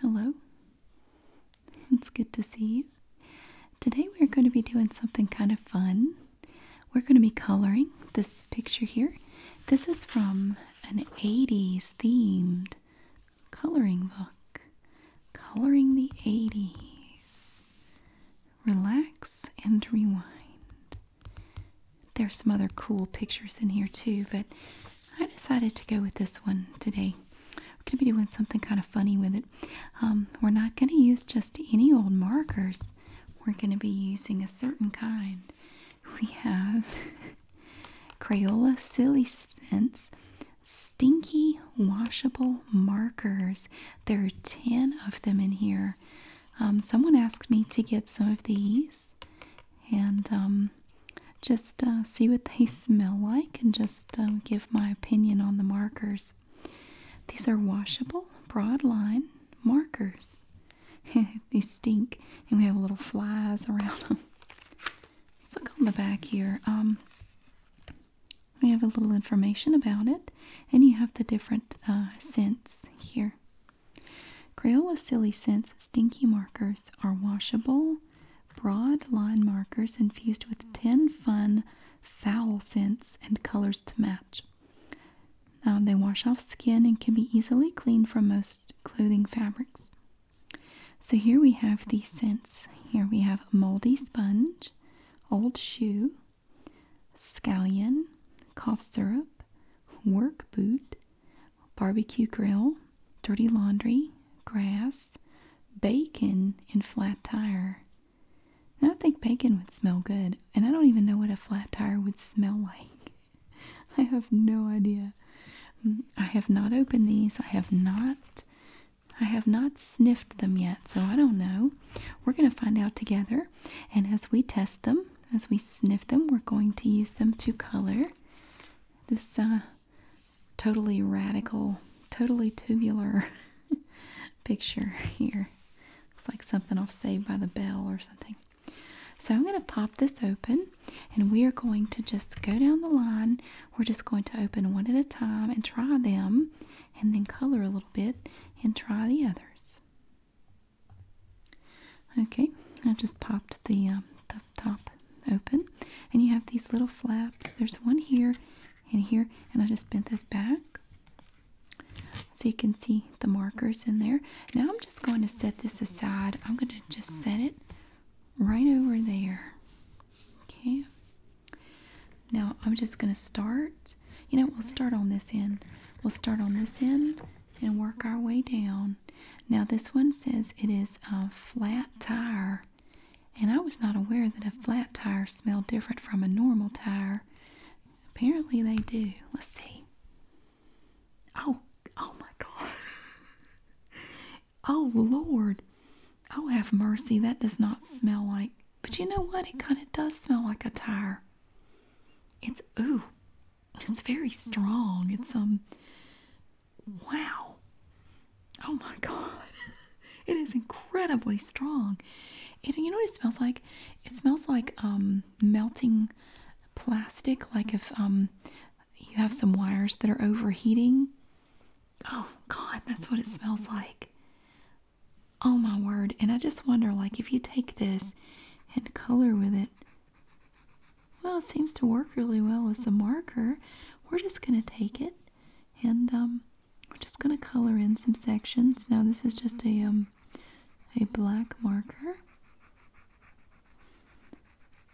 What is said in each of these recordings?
Hello. It's good to see you. Today we're going to be doing something kind of fun. We're going to be coloring this picture here. This is from an 80s themed coloring book. Coloring the 80s. Relax and rewind. There's some other cool pictures in here too, but I decided to go with this one today. We're going to be doing something kind of funny with it. Um, we're not going to use just any old markers. We're going to be using a certain kind. We have Crayola Silly Scents Stinky Washable Markers. There are 10 of them in here. Um, someone asked me to get some of these and um, just uh, see what they smell like and just uh, give my opinion on the markers. These are washable, broad line markers. These stink, and we have little flies around them. Let's look on the back here. Um, we have a little information about it, and you have the different uh, scents here. Crayola Silly Scents Stinky Markers are washable, broad line markers infused with 10 fun foul scents and colors to match. Um, they wash off skin and can be easily cleaned from most clothing fabrics. So here we have the scents. Here we have moldy sponge, old shoe, scallion, cough syrup, work boot, barbecue grill, dirty laundry, grass, bacon, and flat tire. And I think bacon would smell good, and I don't even know what a flat tire would smell like. I have no idea. Mm, I have not opened these. I have not I have not sniffed them yet, so I don't know. We're going to find out together, and as we test them, as we sniff them, we're going to use them to color this uh, totally radical, totally tubular picture here. Looks like something i off Saved by the Bell or something. So I'm going to pop this open and we are going to just go down the line. We're just going to open one at a time and try them and then color a little bit and try the others. Okay, i just popped the, uh, the top open, and you have these little flaps. There's one here and here, and I just bent this back so you can see the markers in there. Now I'm just going to set this aside. I'm going to just set it right over there. Okay. Now I'm just going to start. You know, we'll start on this end. We'll start on this end and work our way down. Now, this one says it is a flat tire, and I was not aware that a flat tire smelled different from a normal tire. Apparently, they do. Let's see. Oh, oh my God. oh, Lord. Oh, have mercy. That does not smell like. But you know what? It kind of does smell like a tire. It's, ooh, it's very strong. It's, um, wow. Oh my God. it is incredibly strong. It, you know what it smells like? It smells like um, melting plastic, like if um, you have some wires that are overheating. Oh God, that's what it smells like. Oh my word. And I just wonder, like, if you take this and color with it, well, it seems to work really well as a marker. We're just going to take it and um, we're just going to color in some sections. Now this is just a, um, a black marker.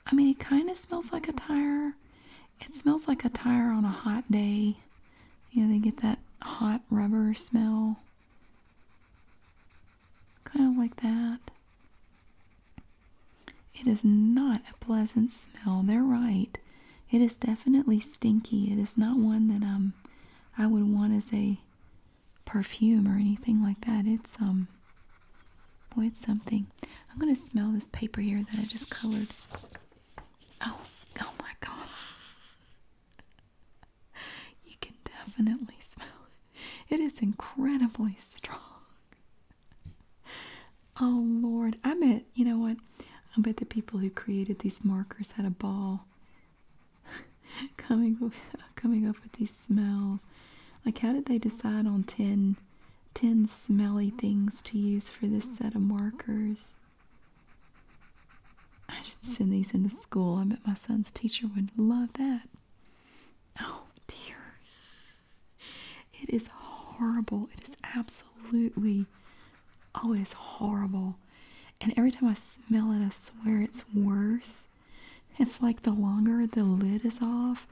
I mean, it kind of smells like a tire. It smells like a tire on a hot day. You know, they get that hot rubber smell kind of like that. It is not a pleasant smell. They're right. It is definitely stinky. It is not one that um I would want as a perfume or anything like that. It's um boy it's something. I'm gonna smell this paper here that I just colored. Oh, oh my god. you can definitely smell it. It is incredibly strong. oh Lord, I bet you know what? I bet the people who created these markers had a ball coming coming up with these smells. Like how did they decide on 10, 10 smelly things to use for this set of markers? I should send these into school. I bet my son's teacher would love that. Oh dear it is horrible. It is absolutely, oh, it is horrible. And every time I smell it, I swear it's worse. It's like the longer the lid is off,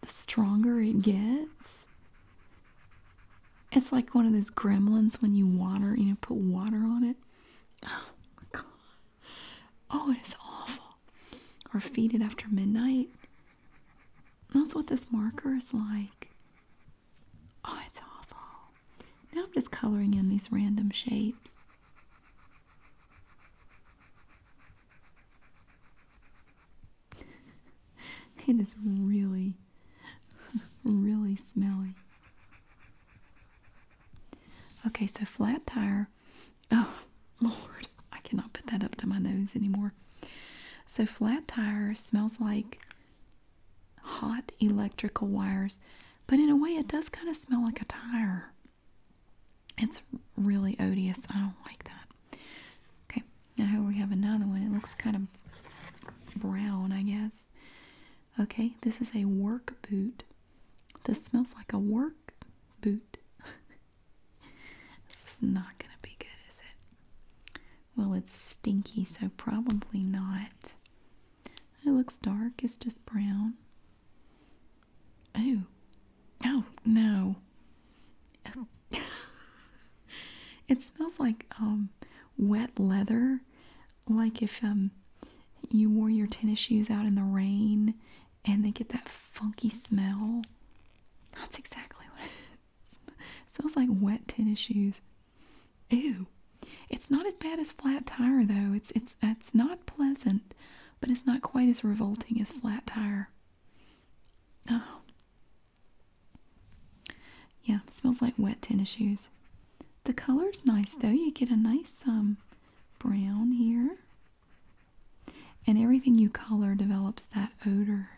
the stronger it gets. It's like one of those gremlins when you water, you know, put water on it. Oh my god. oh, it's awful. Or feed it after midnight. That's what this marker is like. Oh, it's awful. Now I'm just coloring in these random shapes. It is really, really smelly. Okay, so flat tire Oh, Lord, I cannot put that up to my nose anymore. So, flat tire smells like hot electrical wires, but in a way, it does kind of smell like a tire. It's really odious. I don't like that. Okay, now here we have another one. It looks kind of brown, I guess. Okay, this is a work boot. This smells like a work boot. This is not going to be good, is it? Well, it's stinky, so probably not. It looks dark, it's just brown. Oh. Oh, no. it smells like um wet leather, like if um you wore your tennis shoes out in the rain and they get that funky smell. That's exactly what It smells like wet tennis shoes. Ew. It's not as bad as flat tire though. It's it's it's not pleasant, but it's not quite as revolting as flat tire. Oh. Yeah, smells like wet tennis shoes. The color's nice though. You get a nice um brown here. And everything you color develops that odor,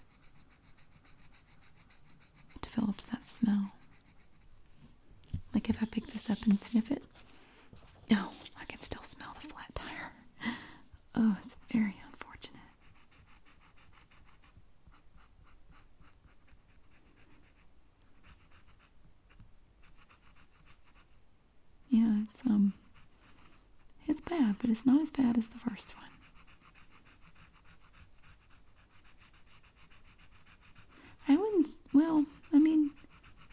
develops that smell. Like if I pick this up and sniff it, oh, I can still smell the flat tire. Oh, it's very unfortunate. Yeah, it's um it's bad, but it's not as bad as the first one. I wouldn't well, I mean,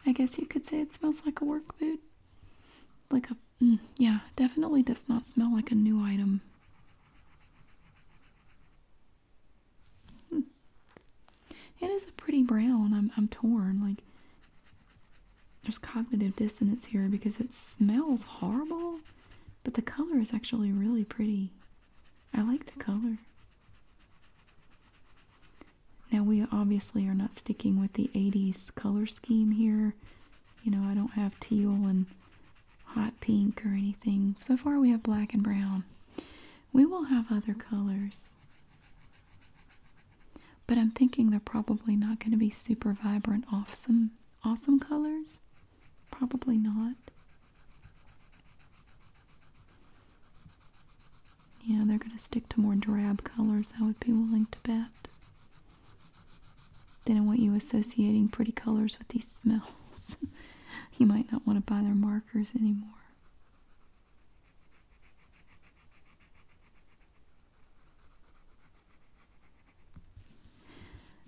I guess you could say it smells like a work boot. Like a mm, yeah, definitely does not smell like a new item. Hmm. It is a pretty brown. I'm I'm torn. Like there's cognitive dissonance here because it smells horrible, but the color is actually really pretty. I like the color. Now, we obviously are not sticking with the 80s color scheme here. You know, I don't have teal and hot pink or anything. So far, we have black and brown. We will have other colors. But I'm thinking they're probably not going to be super vibrant, off some awesome colors. Probably not. Yeah, they're going to stick to more drab colors, I would be willing to bet. They don't want you associating pretty colors with these smells. you might not want to buy their markers anymore.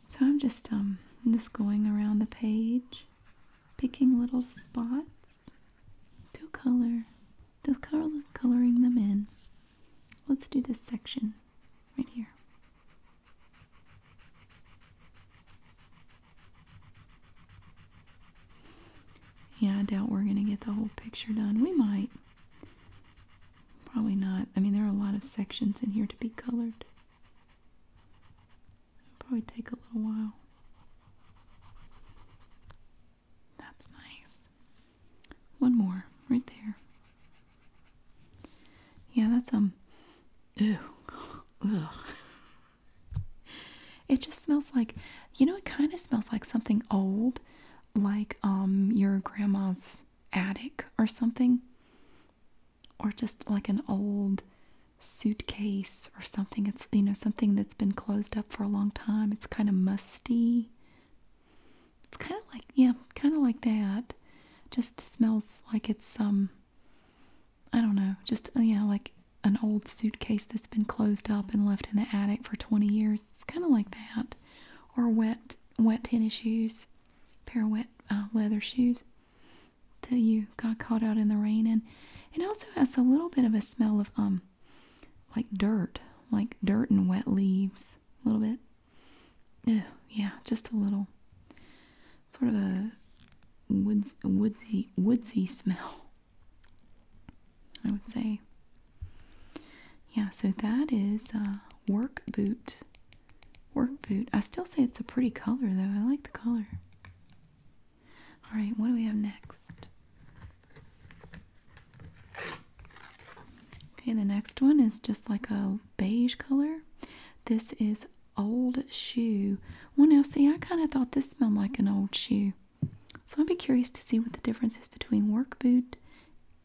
So I'm just um just going around the page, picking little spots to color, to color coloring them in. Let's do this section right here. Yeah, I doubt we're gonna get the whole picture done. We might. Probably not. I mean, there are a lot of sections in here to be colored. It'll probably take a little while. That's nice. One more, right there. Yeah, that's, um, ew, ugh. It just smells like, you know, it kind of smells like something old, like um your grandma's attic or something or just like an old suitcase or something it's you know something that's been closed up for a long time it's kind of musty it's kind of like yeah kind of like that just smells like it's um i don't know just oh, yeah like an old suitcase that's been closed up and left in the attic for 20 years it's kind of like that or wet wet tennis shoes, pair of wet uh, leather shoes that you got caught out in the rain and It also has a little bit of a smell of um, like dirt, like dirt and wet leaves, a little bit. Ew, yeah, just a little, sort of a woods, woodsy, woodsy smell. I would say. Yeah, so that is uh, work boot. Work boot. I still say it's a pretty color though. I like the color. All right, what do we have next? Okay, the next one is just like a beige color. This is old shoe. Well, now see, I kind of thought this smelled like an old shoe. So I'd be curious to see what the difference is between work boot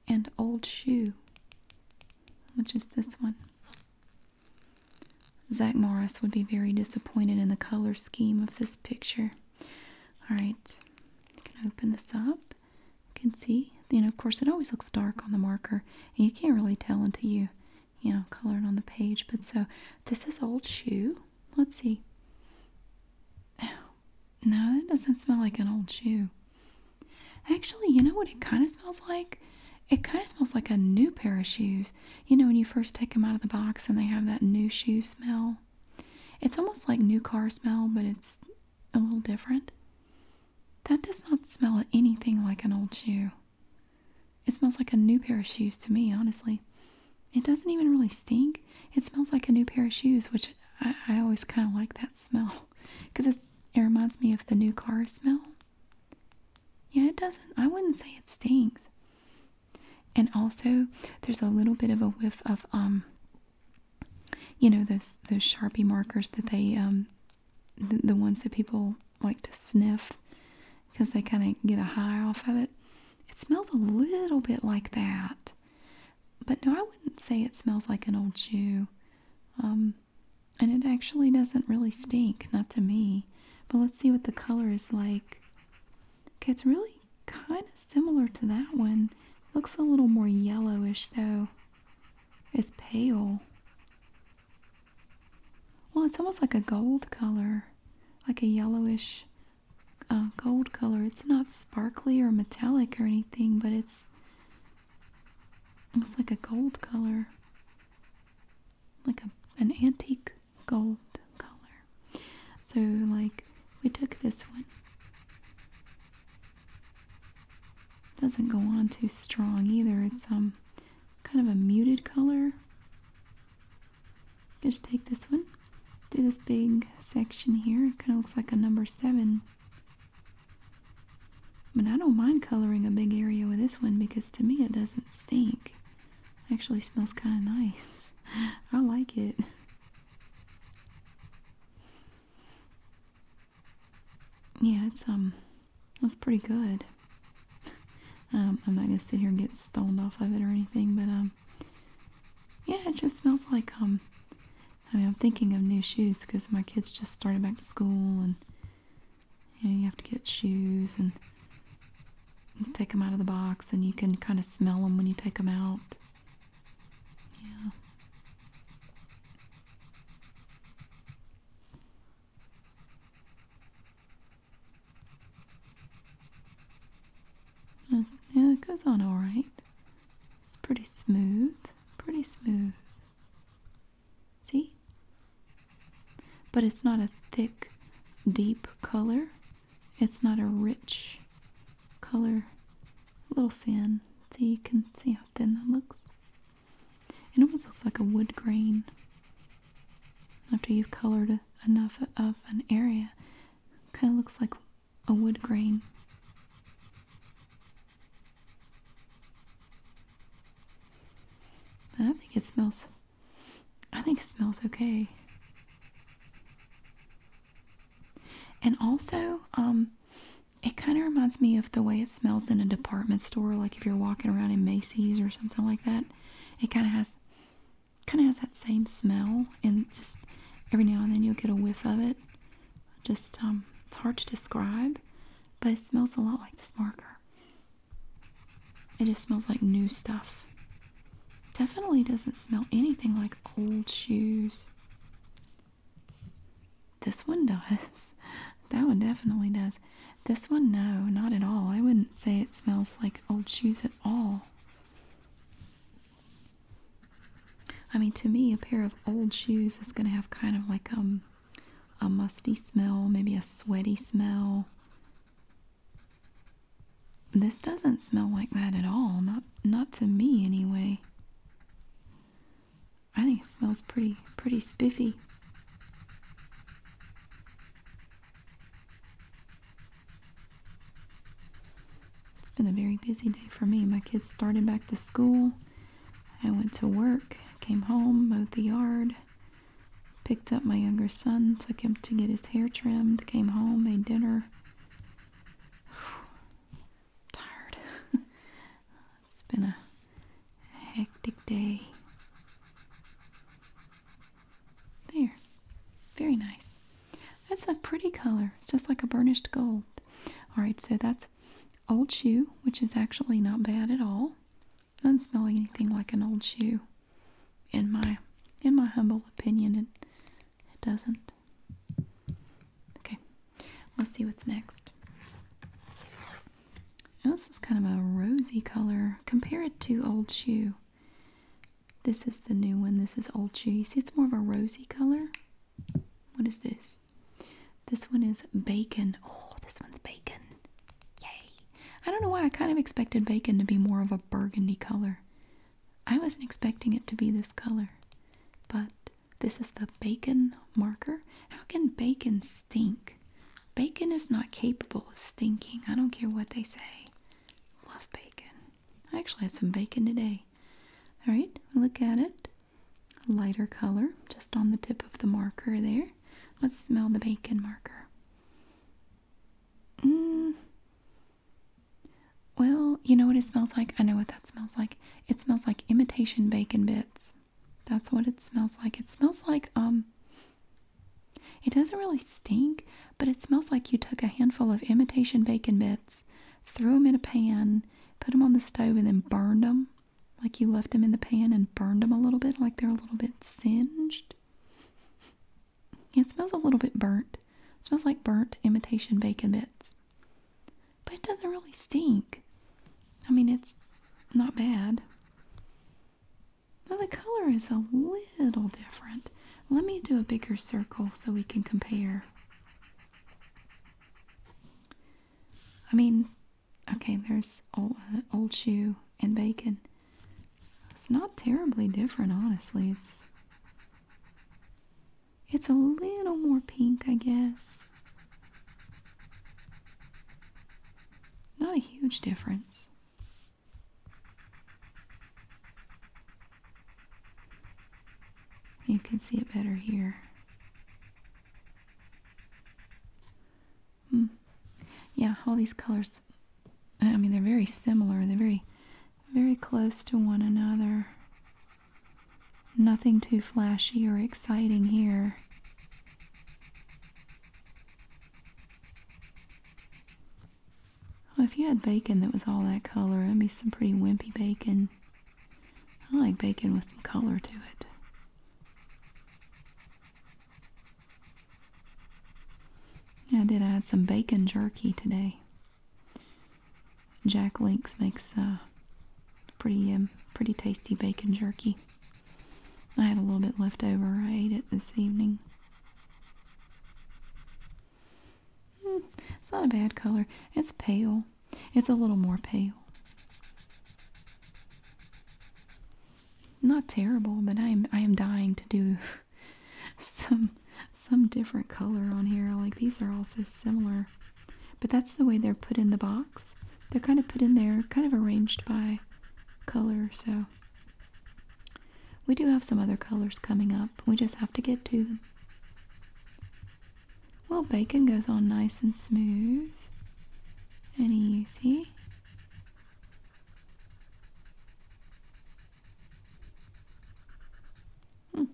and old shoe, which is this one. Zach Morris would be very disappointed in the color scheme of this picture. All right, you can open this up. You can see, you know, of course, it always looks dark on the marker, and you can't really tell until you, you know, color it on the page. But so this is old shoe. Let's see. No, that doesn't smell like an old shoe. Actually, you know what it kind of smells like? It kind of smells like a new pair of shoes. You know, when you first take them out of the box and they have that new shoe smell. It's almost like new car smell, but it's a little different. That does not smell anything like an old shoe. It smells like a new pair of shoes to me, honestly. It doesn't even really stink it smells like a new pair of shoes, which I, always kind of like that smell because it, reminds me of the new car smell. Yeah, it doesn't. I wouldn't say it stinks. And also, there's a little bit of a whiff of um. You know those those Sharpie markers that they um, the ones that people like to sniff because they kind of get a high off of it. It smells a little bit like that. But no, I wouldn't say it smells like an old shoe. Um, and it actually doesn't really stink, not to me. But let's see what the color is like. Okay, it's really kind of similar to that one. Looks a little more yellowish though. It's pale. Well, it's almost like a gold color, like a yellowish uh, gold color. It's not sparkly or metallic or anything, but it's it's like a gold color, like a, an antique gold color. So, like, we took this one. Doesn't go on too strong either. It's um kind of a muted color. Just take this one do this big section here. kind of looks like a number seven. But I don't mind coloring a big area with this one because to me it doesn't stink. actually smells kind of nice. I like it. Yeah, it's um, that's pretty good. Um, I'm not gonna sit here and get stoned off of it or anything, but um, yeah, it just smells like um, I mean, I'm thinking of new shoes because my kids just started back to school and you know, you have to get shoes and take them out of the box and you can kind of smell them when you take them out. Yeah. Yeah, it goes on all right. It's pretty smooth, pretty smooth. See? But it's not a thick, deep color. It's not a rich color. A little thin. See, you can see how thin that looks. It almost looks like a wood grain. After you've colored enough of an area, kind of looks like a wood grain. But I think it smells, I think it smells okay. And also, um, it kind of reminds me of the way it smells in a department store, like if you're walking around in Macy's or something like that. It kind of has, kind of has that same smell, and just every now and then you'll get a whiff of it. Just, um, it's hard to describe, but it smells a lot like this marker. It just smells like new stuff. Definitely doesn't smell anything like old shoes. This one does. That one definitely does. This one, no, not at all. I wouldn't say it smells like old shoes at all. I mean, to me, a pair of old shoes is going to have kind of like um, a musty smell, maybe a sweaty smell. This doesn't smell like that at all. Not not to me anyway. I think it smells pretty pretty spiffy. It's been a very busy day for me. My kids started back to school. I went to work, came home, mowed the yard, picked up my younger son, took him to get his hair trimmed, came home, made dinner. tired. it's been a hectic day. There. Very nice. That's a pretty color. It's just like a burnished gold. Alright, so that's old shoe, which is actually not bad at all. Doesn't smell anything like an old shoe. In my in my humble opinion, it it doesn't. Okay. Let's see what's next. this is kind of a rosy color. Compare it to old shoe. This is the new one. This is old shoe. You see it's more of a rosy color. What is this? This one is bacon. Oh, this one's bacon. Yay. I don't know why I kind of expected bacon to be more of a burgundy color. I wasn't expecting it to be this color. But this is the bacon marker. How can bacon stink? Bacon is not capable of stinking. I don't care what they say. Love bacon. I actually had some bacon today. All right, look at it. Lighter color, just on the tip of the marker there. Let's smell the bacon marker. Mm. Well, you know what it smells like? I know what that smells like. It smells like imitation bacon bits. That's what it smells like. It smells like, um, it doesn't really stink, but it smells like you took a handful of imitation bacon bits threw them in a pan, put them on the stove, and then burned them. Like you left them in the pan and burned them a little bit, like they're a little bit singed. It smells a little bit burnt. smells like burnt imitation bacon bits. But it doesn't really stink. I mean, it's not bad. Now the color is a little different. Let me do a bigger circle so we can compare. I mean, okay, there's old, old shoe and bacon. It's not terribly different, honestly. It's it's a little more pink, I guess. Not a huge difference. You can see it better here. Hmm. Yeah, all these colors, I mean, they're very similar. They're very, very close to one another. Nothing too flashy or exciting here. Well, if you had bacon that was all that color, it'd be some pretty wimpy bacon. I like bacon with some color to it. I did add some bacon jerky today. Jack Links makes uh, pretty um, pretty tasty bacon jerky. I had a little bit left over. I ate it this evening. Hmm, it's not a bad color. It's pale. It's a little more pale. Not terrible, but I am I am dying to do some some different color on here. Like these are all so similar. But that's the way they're put in the box. They're kind of put in there, kind of arranged by color, so we do have some other colors coming up. We just have to get to them. Well, bacon goes on nice and smooth and easy. Hmm.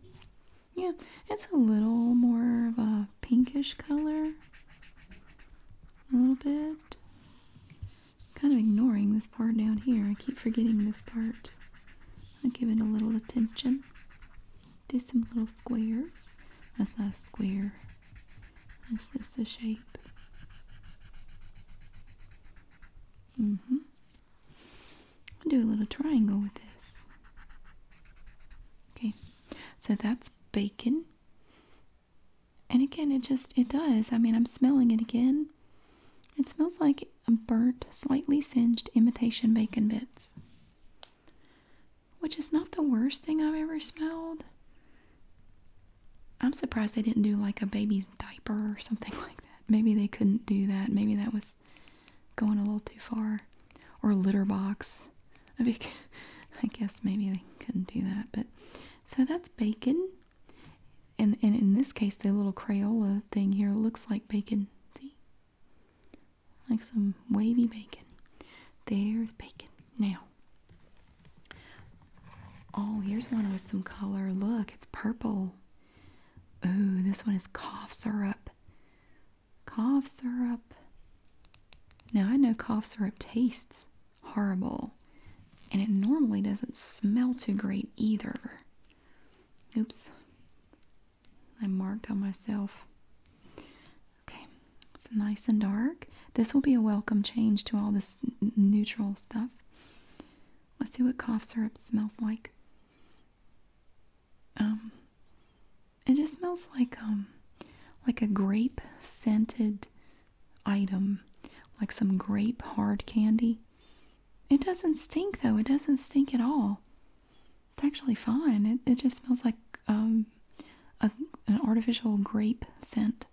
Yeah, it's a little more of a pinkish color. A little bit. Kind of ignoring this part down here. I keep forgetting this part. I give it a little attention. Do some little squares. That's not square. It's just a shape. Mm hmm I'll do a little triangle with this. Okay, so that's bacon. And again, it just, it does. I mean, I'm smelling it again. It smells like thick, burnt, slightly singed imitation bacon bits. Which is not the worst thing I've ever smelled. I'm surprised they didn't do like a baby's diaper or something like that. Maybe they couldn't do that. Maybe that was going a little too far. Or a litter box. I, guess maybe they couldn't do that. But so that's bacon. And, and in this case, the little Crayola thing here looks like bacon. See? like some wavy bacon. There's bacon. Now, oh, here's one with some color. Look, it's purple. Ooh, this one is cough syrup. Cough syrup. Now, I know cough syrup tastes horrible, and it normally doesn't smell too great either. Oops. I marked on myself. Okay, it's nice and dark. This will be a welcome change to all this neutral stuff. Let's see what cough syrup smells like. Um, it just smells like um, like a grape scented item, like some grape hard candy. It doesn't stink though. It doesn't stink at all. It's actually fine. It, just smells like um, an artificial grape scent.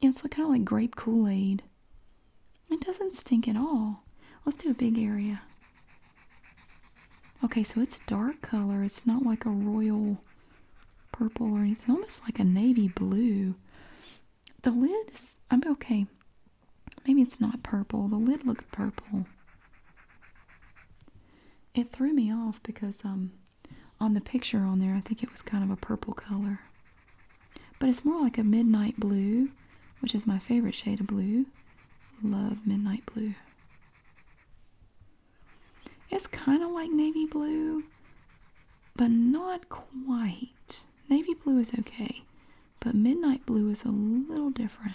Yeah, it's kind of like grape Kool-Aid. It doesn't stink at all. Let's do a big area. Okay, so it's dark color. It's not like a royal purple or anything. Almost like a navy blue. The lid is, I'm okay. Maybe it's not purple. The lid looked purple. It threw me off because um on the picture on there I think it was kind of a purple color. But it's more like a midnight blue, which is my favorite shade of blue. Love midnight blue. It's kind of like navy blue, but not quite. Navy blue is okay. But midnight blue is a little different.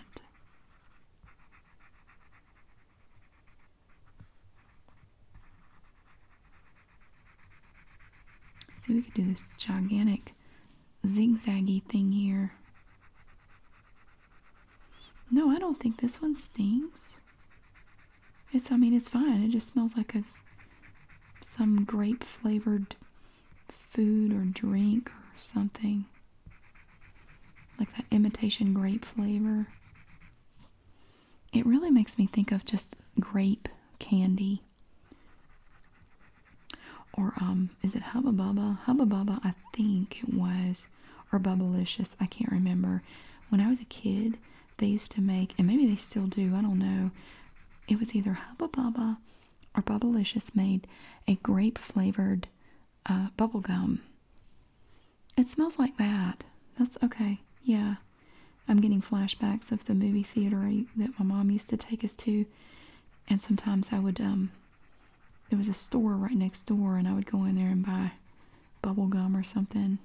See, we could do this gigantic zigzaggy thing here. No, I don't think this one stinks. It's, I mean, it's fine. It just smells like a some grape flavored food or drink or something. Like that imitation grape flavor. It really makes me think of just grape candy. Or um, is it Hubba Bubba? Hubba Bubba, I think it was. Or Bubbalicious, I can't remember. When I was a kid, they used to make, and maybe they still do, I don't know. It was either Hubba Bubba or Bubblicious made a grape flavored uh, bubble gum. It smells like that. That's okay. Yeah. I'm getting flashbacks of the movie theater that my mom used to take us to. And sometimes I would, um, there was a store right next door and I would go in there and buy bubble gum or something.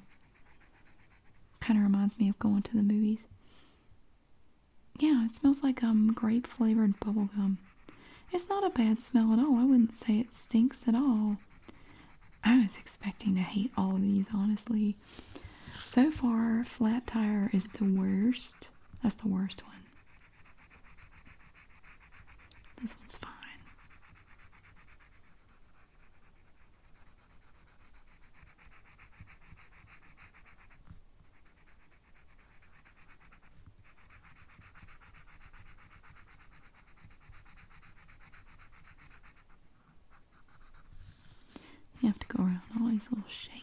Kind of reminds me of going to the movies. Yeah, it smells like um grape flavored bubblegum. It's not a bad smell at all. I wouldn't say it stinks at all. I was expecting to hate all of these, honestly. So far, flat tire is the worst. That's the worst one. This one's fine. You have to go around all these little shapes.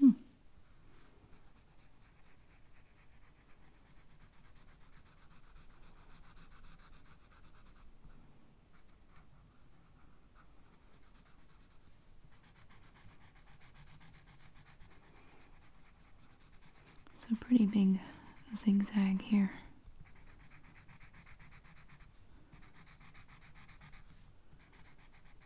Hmm. It's a pretty big zigzag here.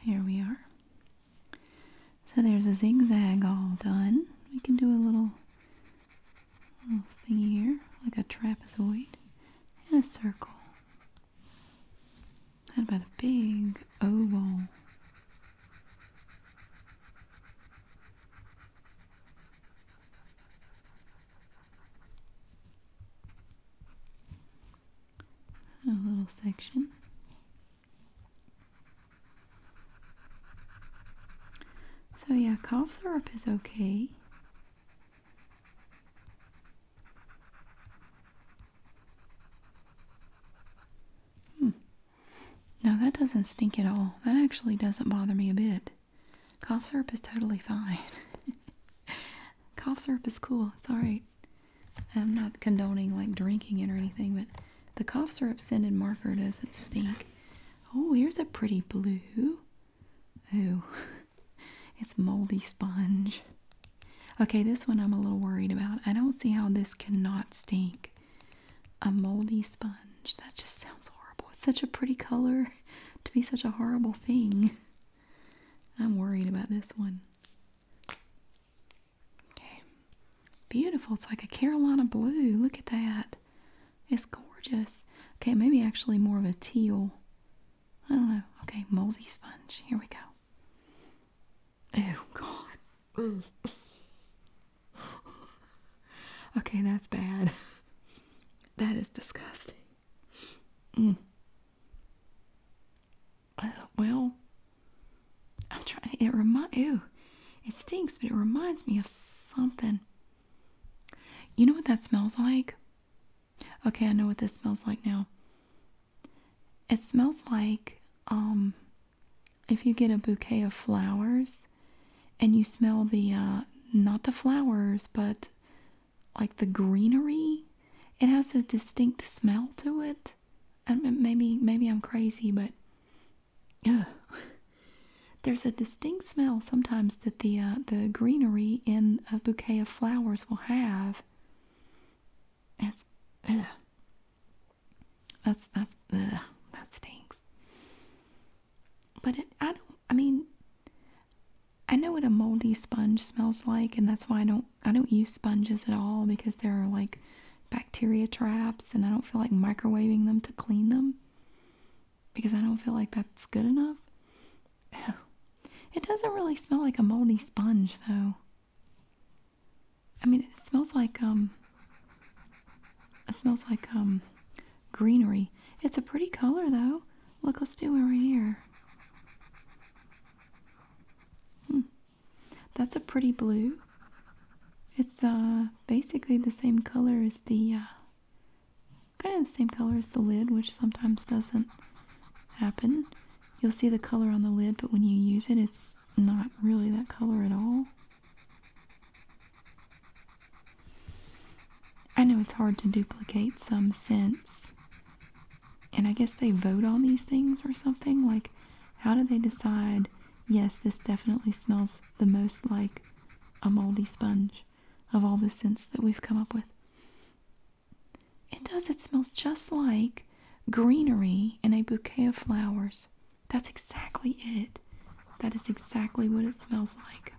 Here we are. So there's a zigzag all done. We can do a little, little thingy here, like a trapezoid, and a circle. How about a big oval? a little section. So yeah, cough syrup is okay. Hmm. No, that doesn't stink at all. That actually doesn't bother me a bit. Cough syrup is totally fine. Cough syrup is cool. It's alright. I'm not condoning like drinking it or anything, but the cough syrup scented marker doesn't stink. Oh, here's a pretty blue. Ooh, it's moldy sponge. Okay, this one I'm a little worried about. I don't see how this cannot stink. A moldy sponge. That just sounds horrible. It's such a pretty color. to be such a horrible thing. I'm worried about this one. Okay. Beautiful. It's like a Carolina blue. Look at that. It's gorgeous. Okay, maybe actually more of a teal. I don't know. Okay, moldy sponge. Here we go. Oh, God. okay, that's bad. that is disgusting. Mm. Uh, well, I'm trying to. It remind. Ew, it stinks, but it reminds me of something. You know what that smells like? Okay, I know what this smells like now. It smells like um, if you get a bouquet of flowers and you smell the uh, not the flowers but like the greenery it has a distinct smell to it and maybe maybe i'm crazy but there's a distinct smell sometimes that the uh, the greenery in a bouquet of flowers will have that's that's that's that stinks but I don't, I mean, I know what a moldy sponge smells like, and that's why I don't, I don't use sponges at all because they are like bacteria traps, and I don't feel like microwaving them to clean them because I don't feel like that's good enough. It doesn't really smell like a moldy sponge, though. I mean, it smells like, um, it smells like um greenery. It's a pretty color though. Look, let's do one right here. Hmm. That's a pretty blue. It's uh basically the same color as the uh, kind of the same color as the lid, which sometimes doesn't happen. You'll see the color on the lid, but when you use it, it's not really that color at all. I know it's hard to duplicate some scents, and I guess they vote on these things or something. Like, how do they decide, yes, this definitely smells the most like a moldy sponge of all the scents that we've come up with? It does, it smells just like greenery and a bouquet of flowers. That's exactly it. That is exactly what it smells like.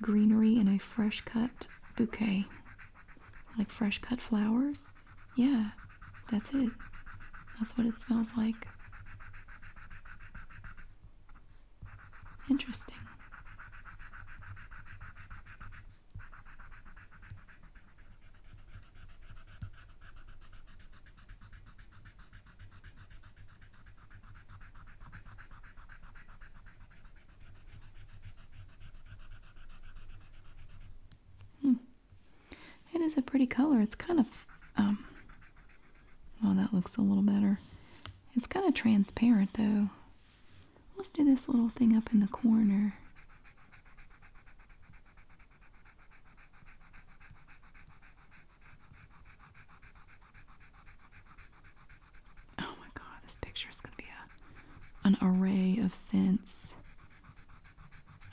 Greenery in a fresh cut bouquet. Like fresh cut flowers? Yeah, that's it. That's what it smells like. Interesting. Hmm. It is a pretty color. It's kind of, well. Um, oh, that looks a little better. It's kind of transparent though. Let's do this little thing up in the corner. Oh my god, this picture is gonna be a an array of scents.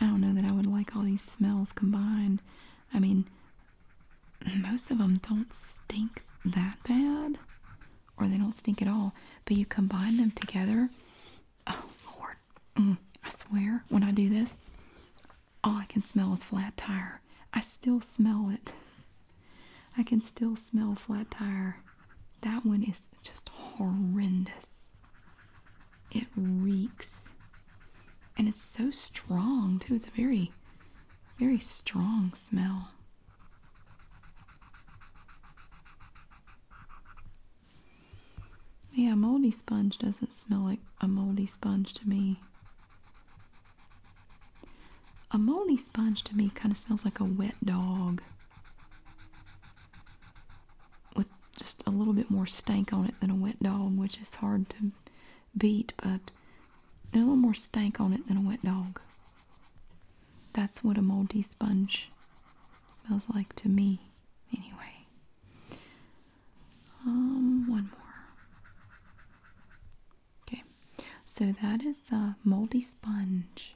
I don't know that I would like all these smells combined. I mean, most of them don't stink that bad, or they don't stink at all. But you combine them together. Oh Lord, I swear, when I do this, all I can smell is flat tire. I still smell it. I can still smell flat tire. That one is just horrendous. It reeks. And it's so strong, too. It's a very, very strong smell. Yeah, moldy sponge doesn't smell like a moldy sponge to me. A moldy sponge to me kind of smells like a wet dog with just a little bit more stank on it than a wet dog, which is hard to beat, but a little more stank on it than a wet dog. That's what a moldy sponge smells like to me, anyway. Um, one more. Okay, so that is a moldy sponge.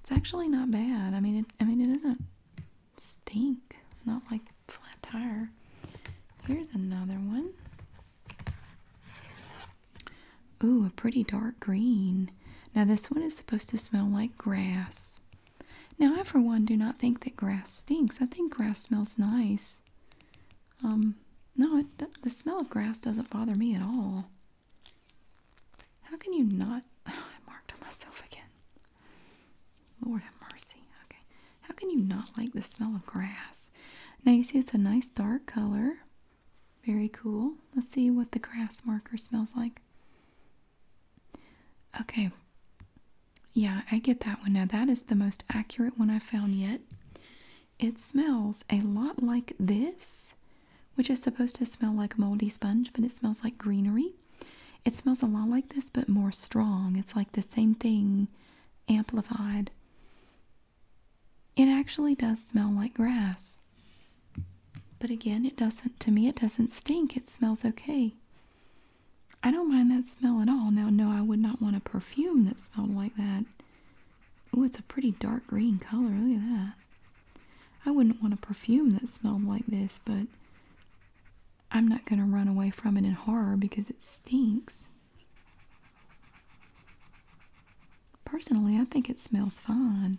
It's actually not bad. I mean, it, I mean, it doesn't stink. Not like flat tire. Here's another one. Ooh, a pretty dark green. Now this one is supposed to smell like grass. Now, I for one do not think that grass stinks. I think grass smells nice. Um, no, the, smell of grass doesn't bother me at all. How can you not? I marked on myself again. Lord have mercy. Okay. How can you not like the smell of grass? Now, you see, it's a nice dark color. Very cool. Let's see what the grass marker smells like. Okay. Yeah, I get that one. Now, that is the most accurate one I found yet. It smells a lot like this, which is supposed to smell like moldy sponge, but it smells like greenery. It smells a lot like this, but more strong. It's like the same thing amplified. It actually does smell like grass. But again, it doesn't, to me, it doesn't stink. It smells okay. I don't mind that smell at all. Now, no, I would not want a perfume that smelled like that. Oh, it's a pretty dark green color. Look at that. I wouldn't want a perfume that smelled like this, but I'm not going to run away from it in horror because it stinks. Personally, I think it smells fine.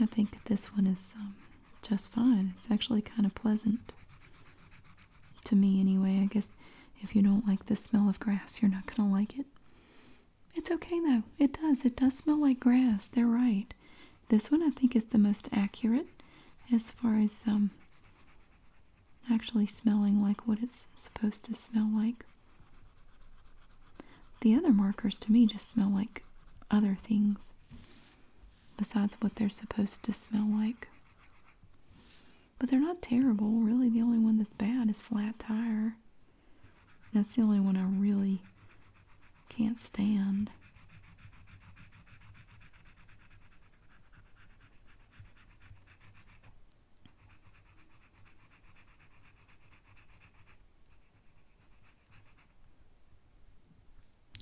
I think this one is um, just fine. It's actually kind of pleasant to me, anyway. I guess if you don't like the smell of grass, you're not going to like it. It's okay though. It does. It does smell like grass. They're right. This one I think is the most accurate as far as um, actually smelling like what it's supposed to smell like. The other markers to me just smell like other things besides what they're supposed to smell like. But they're not terrible. Really, the only one that's bad is flat tire. That's the only one I really can't stand.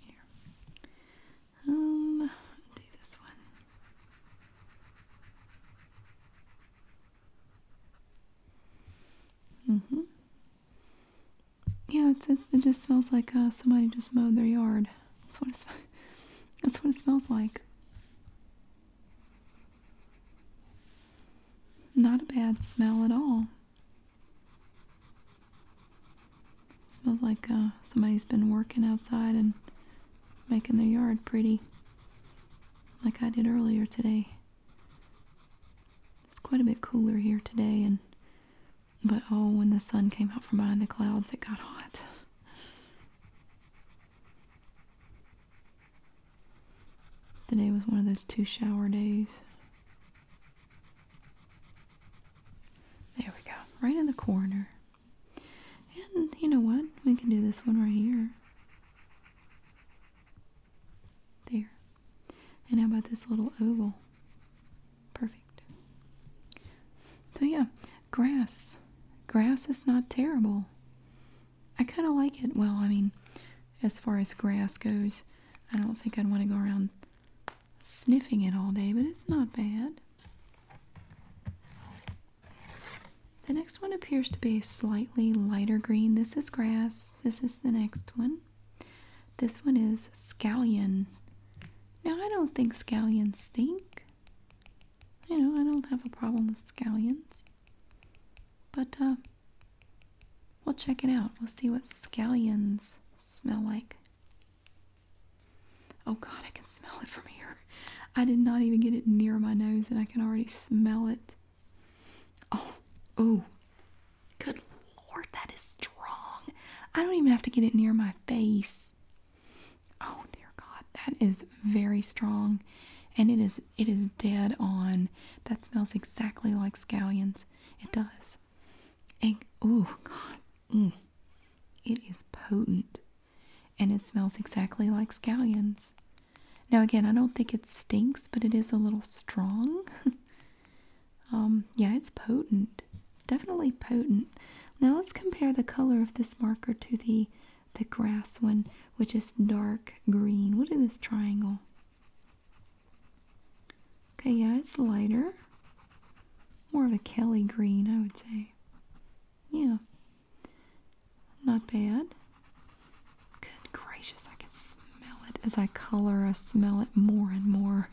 Here. Um, do this one. Mm-hmm. Yeah, it's, it, it just smells like uh, somebody just mowed their yard. That's what it, that's what it smells like. Not a bad smell at all. Smells like uh, somebody's been working outside and making their yard pretty, like I did earlier today. It's quite a bit cooler here today, and but oh, when the sun came out from behind the clouds, it got hot. Today was one of those two shower days. There we go, right in the corner. And you know what? We can do this one right here. There. And how about this little oval? Perfect. So, yeah, grass. Grass is not terrible. I kind of like it. Well, I mean, as far as grass goes. I don't think I'd want to go around sniffing it all day, but it's not bad. The next one appears to be a slightly lighter green. This is grass. This is the next one. This one is scallion. Now, I don't think scallions stink. You know, I don't have a problem with scallions. But uh, We'll check it out. We'll see what scallions smell like. Oh god, I can smell it from here. I did not even get it near my nose and I can already smell it. Oh, oh. Good lord, that is strong. I don't even have to get it near my face. Oh dear god, that is very strong and it is it is dead on. That smells exactly like scallions. It does. And oh god. Mm. It is potent. And it smells exactly like scallions. Now again, I don't think it stinks, but it is a little strong. um, yeah, it's potent. It's definitely potent. Now let's compare the color of this marker to the the grass one, which is dark green. What is this triangle? Okay, yeah, it's lighter. More of a Kelly green, I would say. Yeah. Not bad. Good gracious, I can smell it as I color. I smell it more and more.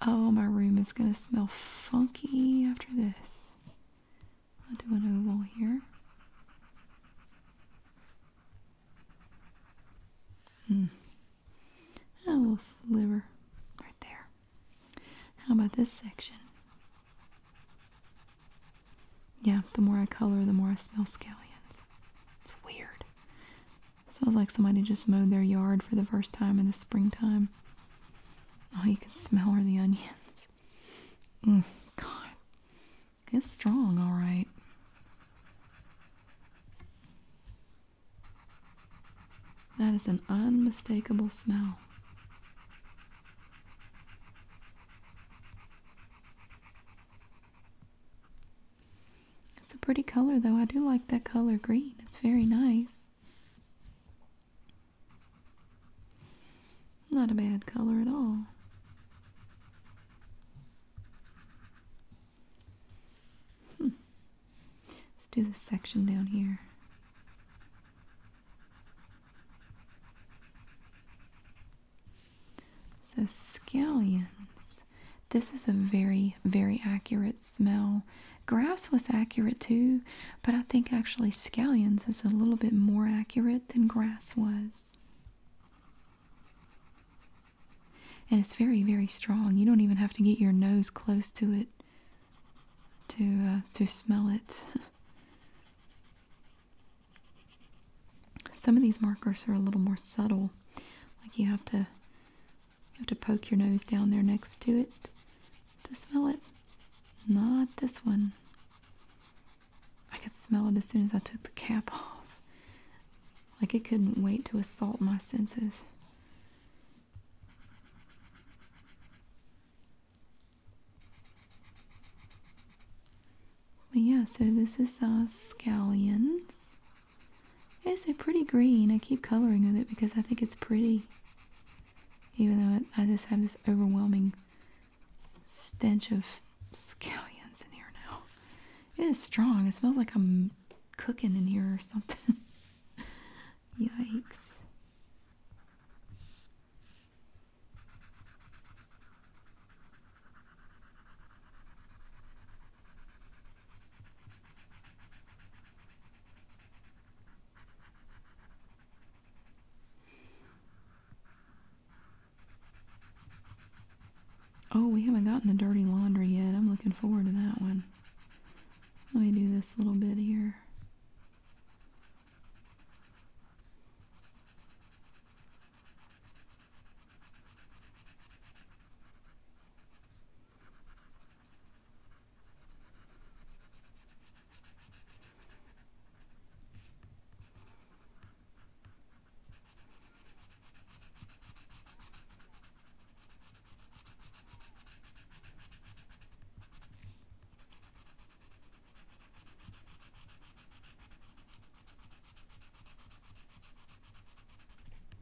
Oh, my room is going to smell funky after this. I'll do an oval here. Hmm. A oh, little sliver right there. How about this section? Yeah, the more I color, the more I smell scallions. It's weird. smells like somebody just mowed their yard for the first time in the springtime. All you can smell are the onions. Mm, God. It's strong, all right. That is an unmistakable smell. It's a pretty color, though. I do like that color green, it's very nice. Not a bad color at all. Hmm. Let's do this section down here. So, scallions. This is a very, very accurate smell. Grass was accurate too, but I think actually scallions is a little bit more accurate than grass was. And it's very, very strong. You don't even have to get your nose close to it to uh, to smell it. Some of these markers are a little more subtle. Like you have to you have to poke your nose down there next to it to smell it. Not this one. I could smell it as soon as I took the cap off. Like it couldn't wait to assault my senses. But yeah, so this is uh, scallions. It's a pretty green. I keep coloring with it because I think it's pretty. Even though I just have this overwhelming stench of scallions in here now. It is strong. It smells like I'm cooking in here or something. Yikes. Oh, we haven't gotten the dirty laundry yet. I'm looking forward to that one. Let me do this little bit here.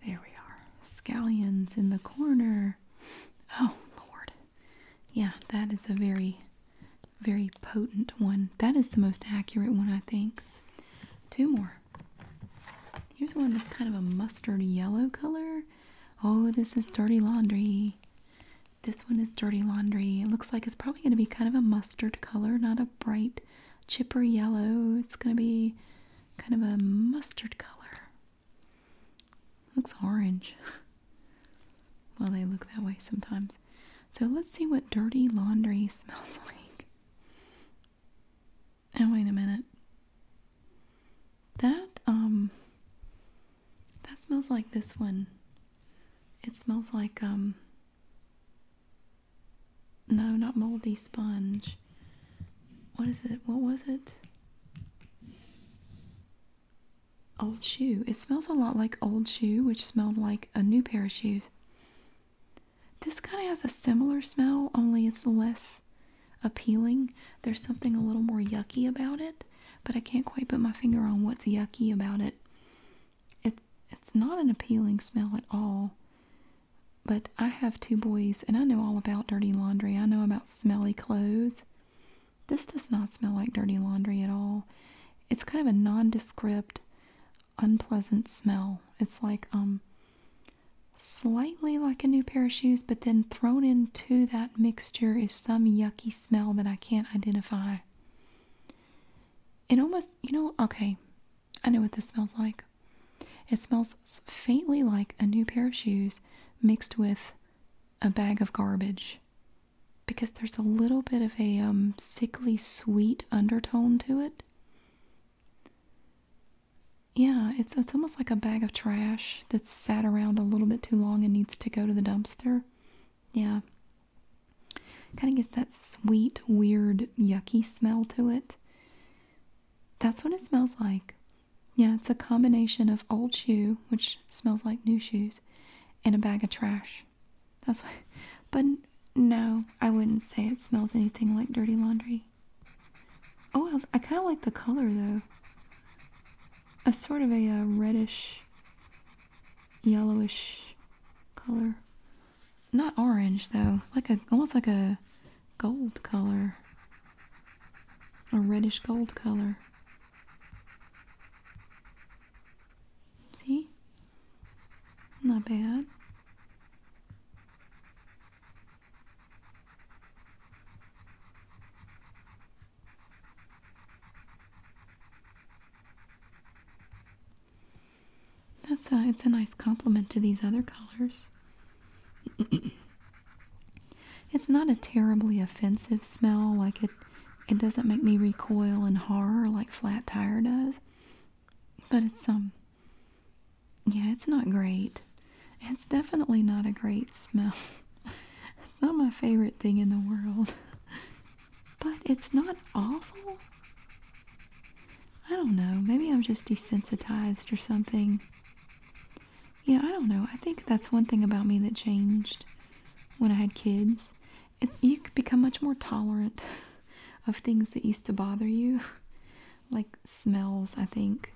There we are. Scallions in the corner. Oh, Lord. Yeah, that is a very very potent one. That is the most accurate one, I think. Two more. Here's one that's kind of a mustard yellow color. Oh, this is dirty laundry. This one is dirty laundry. It looks like it's probably going to be kind of a mustard color, not a bright chipper yellow. It's going to be kind of a mustard color. Looks orange. well, they look that way sometimes. So let's see what dirty laundry smells like. And oh, wait a minute. That um that smells like this one. It smells like um no, not moldy sponge. What is it? What was it? Old shoe. It smells a lot like old shoe, which smelled like a new pair of shoes. This kind of has a similar smell, only it's less appealing. There's something a little more yucky about it, but I can't quite put my finger on what's yucky about it. It's it's not an appealing smell at all. But I have two boys, and I know all about dirty laundry. I know about smelly clothes. This does not smell like dirty laundry at all. It's kind of a nondescript, unpleasant smell. It's like um slightly like a new pair of shoes, but then thrown into that mixture is some yucky smell that I can't identify. It almost, you know, okay. I know what this smells like. It smells faintly like a new pair of shoes mixed with a bag of garbage. because there's a little bit of a um, sickly sweet undertone to it. Yeah, it's it's almost like a bag of trash that's sat around a little bit too long and needs to go to the dumpster. Yeah. Kind of gets that sweet, weird, yucky smell to it. That's what it smells like. Yeah, it's a combination of old shoe, which smells like new shoes, and a bag of trash. That's why. But no, I wouldn't say it smells anything like dirty laundry. Oh, I, kind of like the color though. A sort of a uh, reddish, yellowish color. Not orange though, like a almost like a gold color. A reddish gold color. See? Not bad. That's a, uh, it's a nice compliment to these other colors. it's not a terribly offensive smell like it it doesn't make me recoil in horror like flat tire does. But it's, um, yeah, it's not great. It's definitely not a great smell. it's not my favorite thing in the world. but it's not awful. I don't know. Maybe I'm just desensitized or something. Yeah, I don't know. I think that's one thing about me that changed when I had kids you become much more tolerant of things that used to bother you, like smells, I think.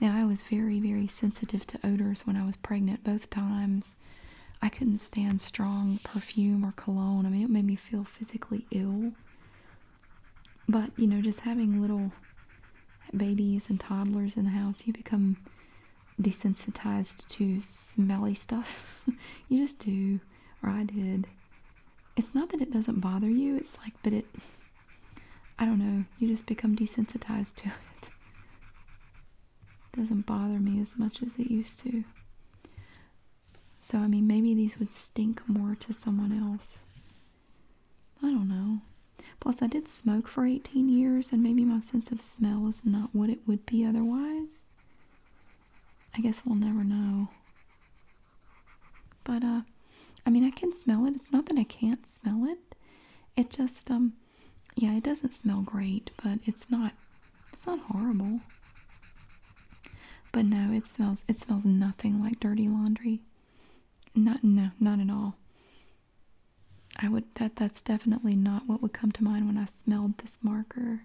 Now, I was very, very sensitive to odors when I was pregnant both times. I couldn't stand strong perfume or cologne. I mean, it made me feel physically ill. But, you know, just having little babies and toddlers in the house, you become desensitized to smelly stuff. you just do or I did. It's not that it doesn't bother you, it's like, but it, I don't know, you just become desensitized to it. it doesn't bother me as much as it used to. So, I mean, maybe these would stink more to someone else. I don't know. Plus, I did smoke for 18 years, and maybe my sense of smell is not what it would be otherwise. I guess we'll never know. But, uh, I mean, I can smell it. It's not that I can't smell it. It just, um, yeah, it doesn't smell great, but it's not, it's not horrible. But no, it smells, it smells nothing like dirty laundry. Not, no, not at all. I would, that, that's definitely not what would come to mind when I smelled this marker.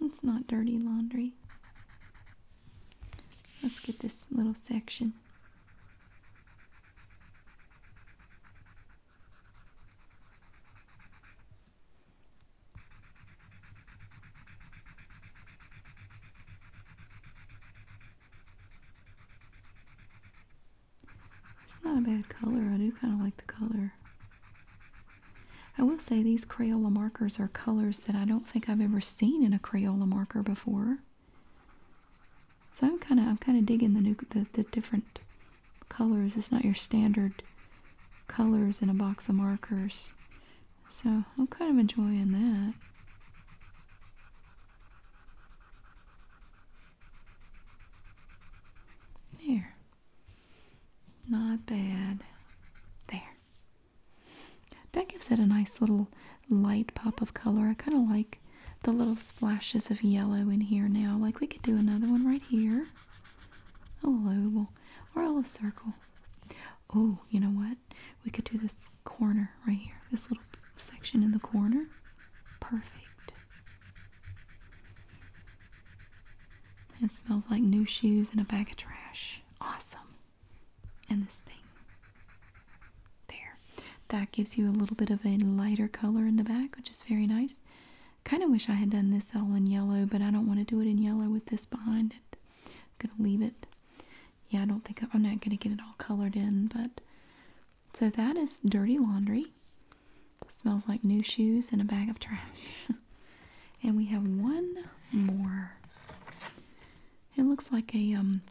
It's not dirty laundry. Let's get this little section. It's not a bad color. I do kind of like the color. I will say these Crayola markers are colors that I don't think I've ever seen in a Crayola marker before. So I'm kind of I'm kind of digging the new the, the different colors. It's not your standard colors in a box of markers. So I'm kind of enjoying that. There. Not bad. There. That gives it a nice little light pop of color. I kind of like the little splashes of yellow in here now. Like we could do another one right here. A oval or a circle. Oh, you know what? We could do this corner right here. This little section in the corner. Perfect. It smells like new shoes and a bag of trash. Awesome. And this thing. There. That gives you a little bit of a lighter color in the back, which is very nice. Kind of wish I had done this all in yellow, but I don't want to do it in yellow with this behind it. I'm going to leave it. Yeah, I don't think I'm not going to get it all colored in, but so that is dirty laundry. Smells like new shoes and a bag of trash. and we have one more. It looks like a um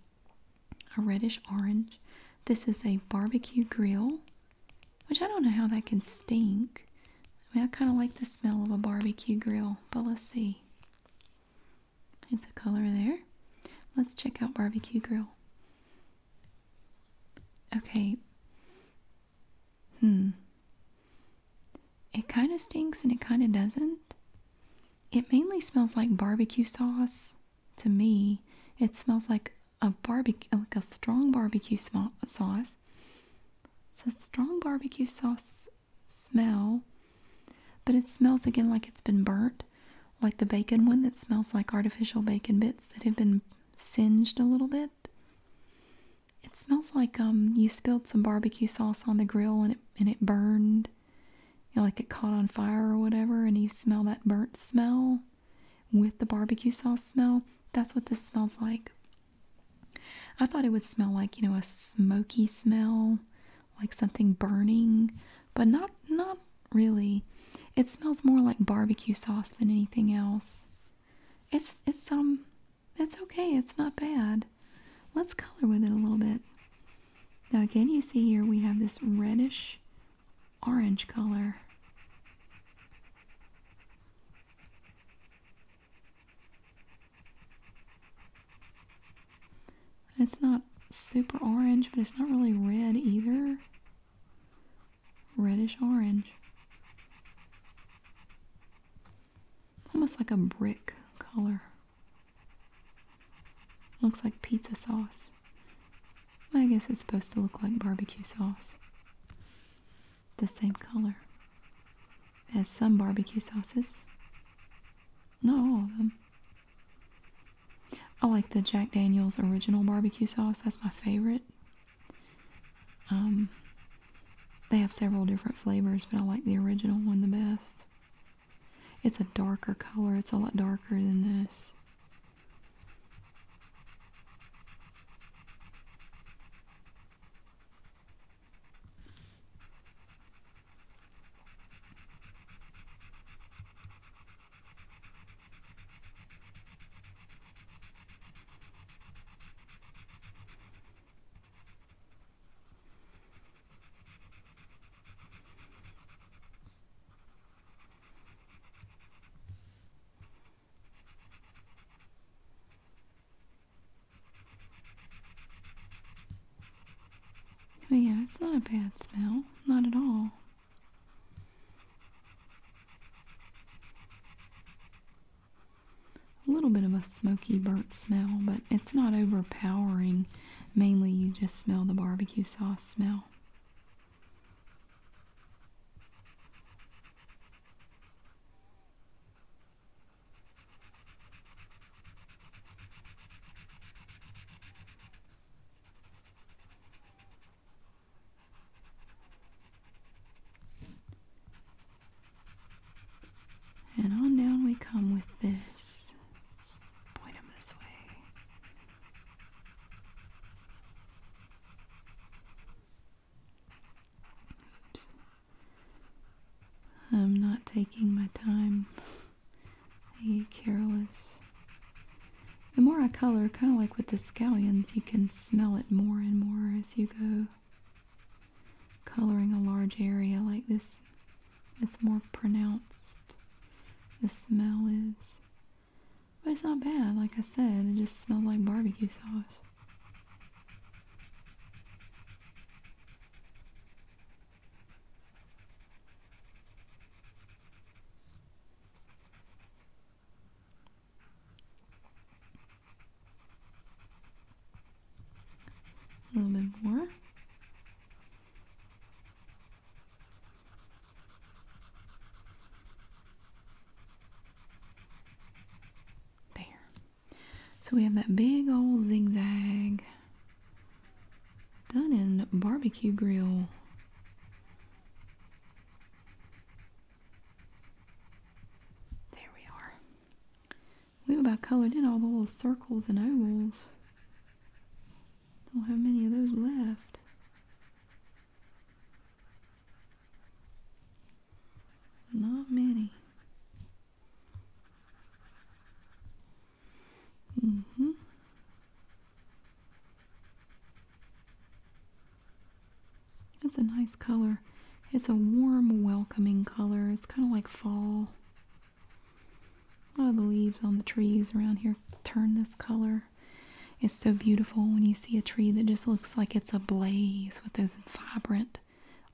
a reddish orange. This is a barbecue grill, which I don't know how that can stink. I mean, I kind of like the smell of a barbecue grill, but let's see. It's a color there. Let's check out barbecue grill. Okay. Hmm. It kind of stinks and it kind of doesn't. It mainly smells like barbecue sauce. To me, it smells like a barbecue, like a strong barbecue sauce. It's a strong barbecue sauce smell, but it smells again like it's been burnt, like the bacon one that smells like artificial bacon bits that have been singed a little bit. It smells like um you spilled some barbecue sauce on the grill and it and it burned. like it caught on fire or whatever, and you smell that burnt smell with the barbecue sauce smell. That's what this smells like. I thought it would smell like, you know, a smoky smell, like something burning, but not not really. It smells more like barbecue sauce than anything else. It's it's um it's okay, it's not bad. Let's color with it a little bit. Now again, you see here we have this reddish orange color. It's not super orange, but it's not really red either reddish orange. Almost like a brick color. Looks like pizza sauce. I guess it's supposed to look like barbecue sauce. The same color as some barbecue sauces. Not all of them. I like the Jack Daniels original barbecue sauce. That's my favorite. Um, they have several different flavors, but I like the original one the best. It's a darker color. It's a lot darker than this. Oh, yeah, it's not a bad smell. Not at all a little bit of a smoky burnt smell, but it's not overpowering. Mainly, you just smell the barbecue sauce smell. And on down we come with this. Point them this way. Oops. I'm not taking my time. I get careless. The more I color, kind of like with the scallions, you can smell it more and more as you go coloring a large area like this, it's more pronounced. The smell is. But it's not bad, like I said, it just smells like barbecue sauce. A little bit more. There. So we have that big old zigzag done in barbecue grill. There we are. We've about colored in all the little circles and ovals. Don't have many of those left. Not many. Mm-hmm. It's a nice color. It's a warm, welcoming color. It's kind of like fall. A lot of the leaves on the trees around here turn this color. It's so beautiful when you see a tree that just looks like it's ablaze with those vibrant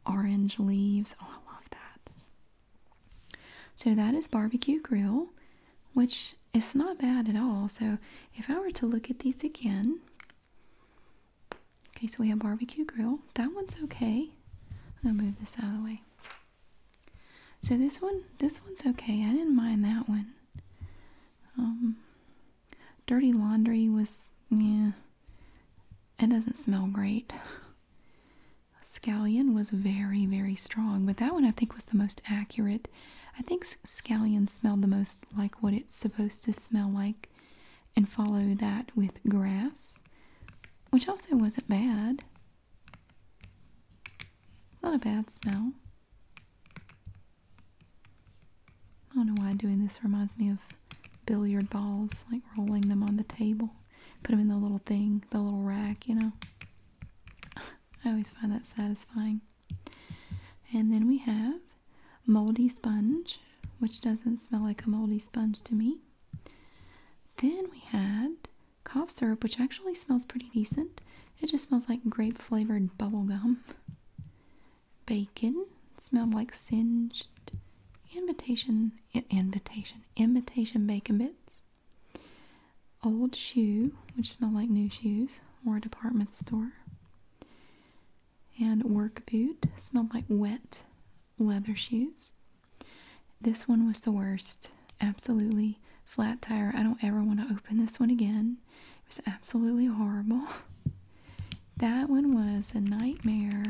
orange leaves. Oh, I love that. So that is barbecue grill, which is not bad at all. So if I were to look at these again, Okay, so we have barbecue grill. That one's okay. I'm gonna move this out of the way. So this one, this one's okay. I didn't mind that one. Um, dirty laundry was, yeah, it doesn't smell great. Scallion was very, very strong, but that one I think was the most accurate. I think scallion smelled the most like what it's supposed to smell like and follow that with grass, which also wasn't bad. Not a bad smell. I don't know why doing this reminds me of billiard balls, like rolling them on the table. Put them in the little thing, the little rack, you know. I always find that satisfying. And then we have moldy sponge, which doesn't smell like a moldy sponge to me. Then we had cough syrup, which actually smells pretty decent. It just smells like grape flavored bubble gum. Bacon smelled like singed invitation, invitation, invitation bacon bits. Old shoe, which smelled like new shoes or a department store and work boot. Smelled like wet leather shoes. This one was the worst. Absolutely flat tire. I don't ever want to open this one again. It was absolutely horrible. That one was a nightmare.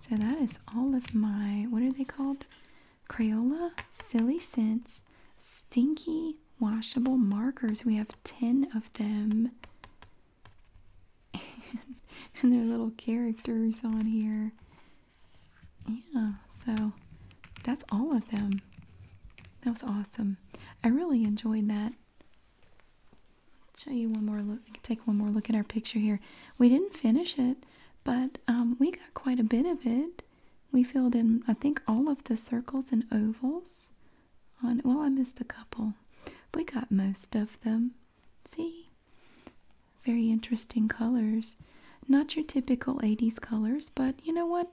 So that is all of my, what are they called? Crayola Silly Scents Stinky Washable Markers. We have 10 of them. And, and their little characters on here. Yeah, so that's all of them. That was awesome. I really enjoyed that. Let's show you one more look. Take one more look at our picture here. We didn't finish it, but um, we got quite a bit of it. We filled in, I think, all of the circles and ovals. On well, I missed a couple. We got most of them. See? Very interesting colors. Not your typical 80s colors, but you know what?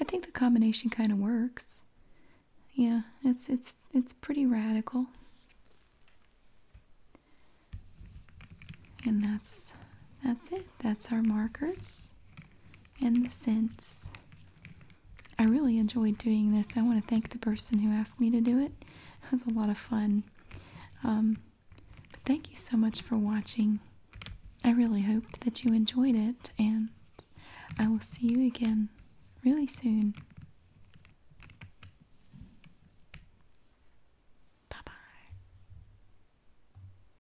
I think the combination kind of works. Yeah, it's it's it's pretty radical. And that's that's it. That's our markers and the scents. I really enjoyed doing this. I want to thank the person who asked me to do it. It was a lot of fun. Um, but thank you so much for watching. I really hope that you enjoyed it, and I will see you again really soon. Bye bye.